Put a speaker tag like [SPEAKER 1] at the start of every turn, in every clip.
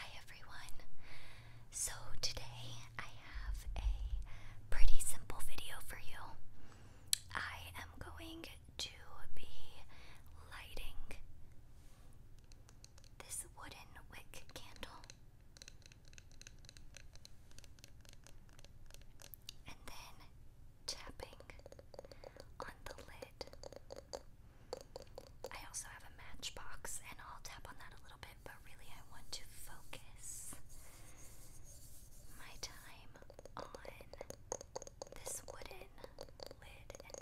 [SPEAKER 1] Hi everyone. So today I have a pretty simple video for you. I am going to be lighting this wooden wick candle. And then tapping on the lid I also have a matchbox, and I'll tap on that a little bit, but really, I want to focus my time on this wooden lid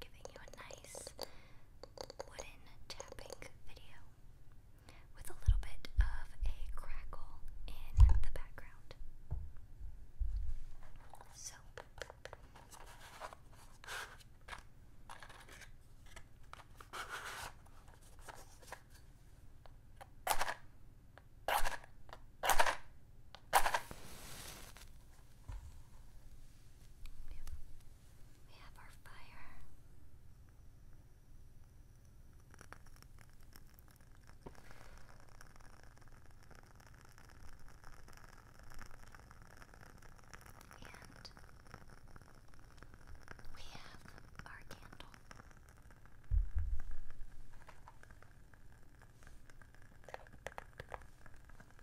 [SPEAKER 1] giving you a nice wooden tapping video with a little bit of a crackle in the background. So, we have our fire. And we have our candle. I'm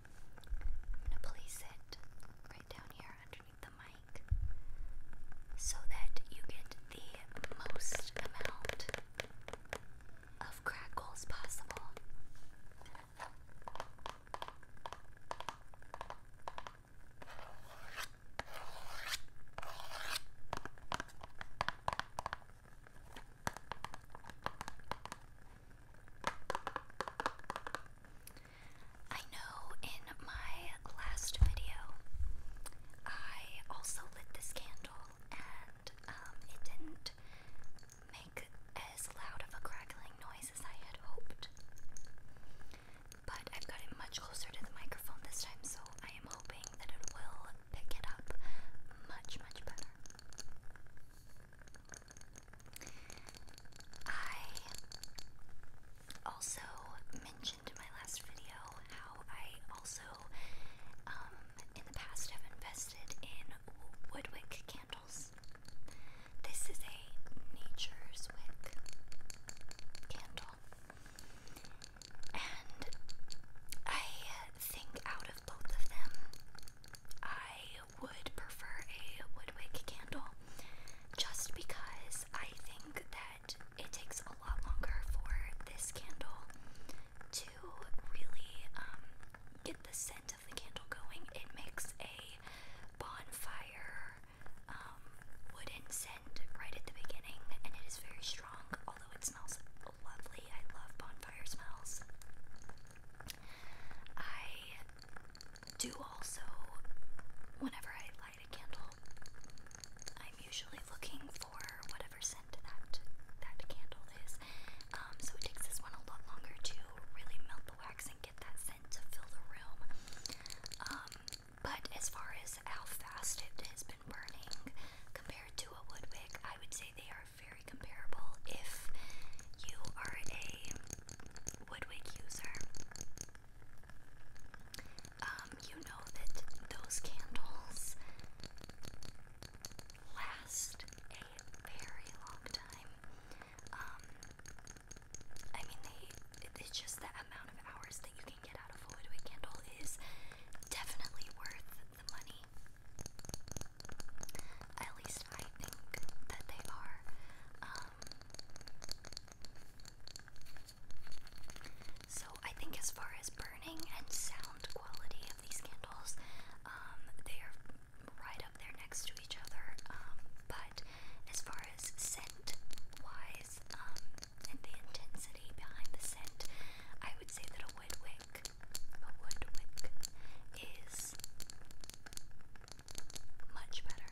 [SPEAKER 1] going to place it right down here underneath the mic so that you get the most amount of crackles possible. I know in my last video I also lit this candle and um, it didn't make as loud of a crackling noise as I had hoped. But I've got it much closer to the microphone this time, so I am hoping that it will pick it up much, much better. I also mentioned in my last video how I also um, in the past have invested in woodwick candles. This is a nature's wick candle. And I think out of both of them, I would prefer a woodwick candle just because I think that it takes a lot longer for this candle to really um, get the scent of the candle going, it makes a bonfire um, wooden scent right at the beginning, and it is very strong, although it smells lovely. I love bonfire smells. I do also, whenever I light a candle, I'm usually looking for whatever scent that that candle is. Um, so it takes this one a lot longer to really melt the wax and get that scent to fill the room. Um, but as far as how fast it has been burning compared to a woodwick, I would say they are very comparable. If you are a woodwick user, um, you know that those candles last a very long time. Um, I mean, it's just the amount of hours that you can get out of a Woodwick candle is definitely worth the money. At least I think that they are. Um, so I think as far as burning and sound quality of these candles, um, they are right up there next to each other. Um, but as far as scent wise, um, and the intensity behind the scent, I would say that a wood wick, a wood is much better.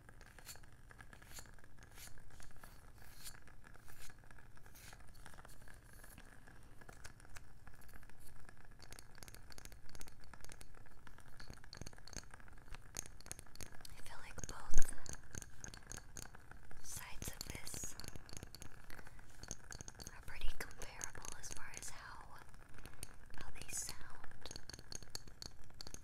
[SPEAKER 1] I feel like both sides of this are pretty comparable as far as how how they sound.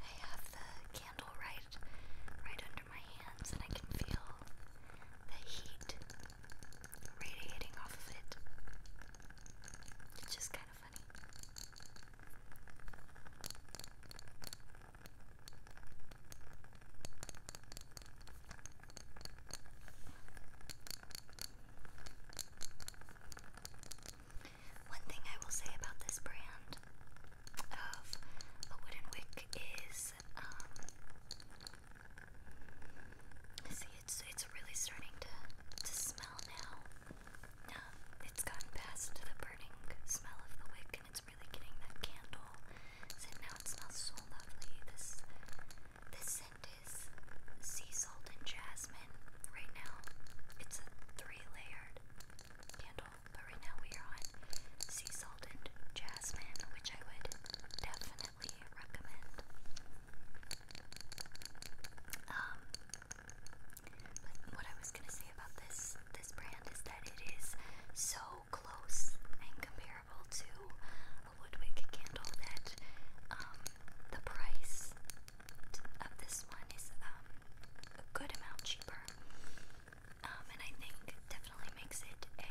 [SPEAKER 1] I have the candle right right under my hands and I can feel the heat radiating off of it. It's just kind of funny. One thing I will say about this brand of a wooden wick is, um, see, it's it's really starting to to smell now. Um, it's gotten past the burning smell of the wick it's really getting that candle scent now. It smells so lovely. This this scent is sea salt and jasmine. Right now, it's a three-layered candle, but right now we are on sea salt and jasmine, which I would definitely recommend. Um, but what I gonna say about this this brand is that it is so close and comparable to a Woodwick candle that um, the price of this one is um, a good amount cheaper, um, and I think definitely makes it a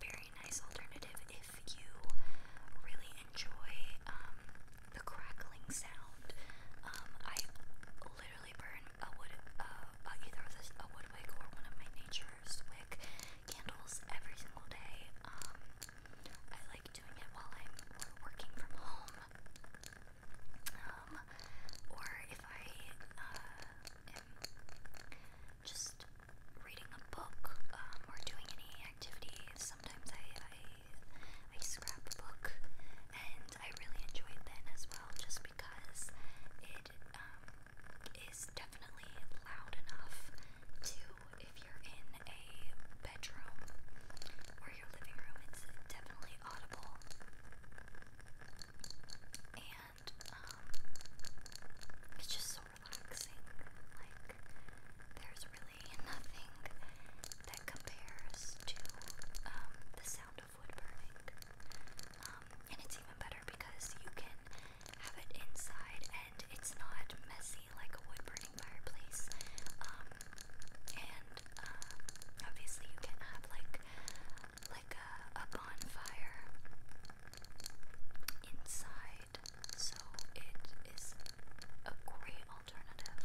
[SPEAKER 1] very nice alternative if you really enjoy the crackling sound. I literally literally burn a wood, uh, uh, either a wood or one of my nature's wick candles every single day. Um, I like doing it while I'm working from home, um, or if I uh, am just reading a book um, or doing any activities. Sometimes I I, I scrapbook and I really enjoyed that as well, just because it um, is definitely loud enough to, if you're in a bedroom or your living room, it's definitely audible. And um, it's just so relaxing. Like, there's really nothing that compares to um, the sound of love wood burning. Um, and it's even better because you can have it inside and it's not messy like a wood burning fireplace. Um, and uh, obviously you can have like like a, a bonfire inside, so it is a great alternative.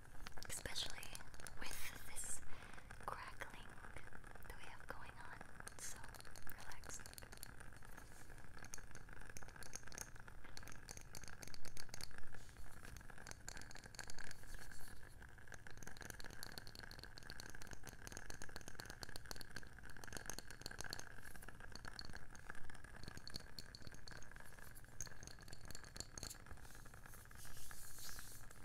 [SPEAKER 1] especially with this crackling that we have going on. so relaxing.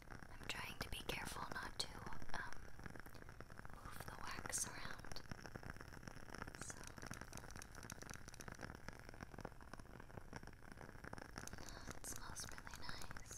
[SPEAKER 1] I'm trying to be careful not to um, move the wax around. So. Oh, it smells really nice.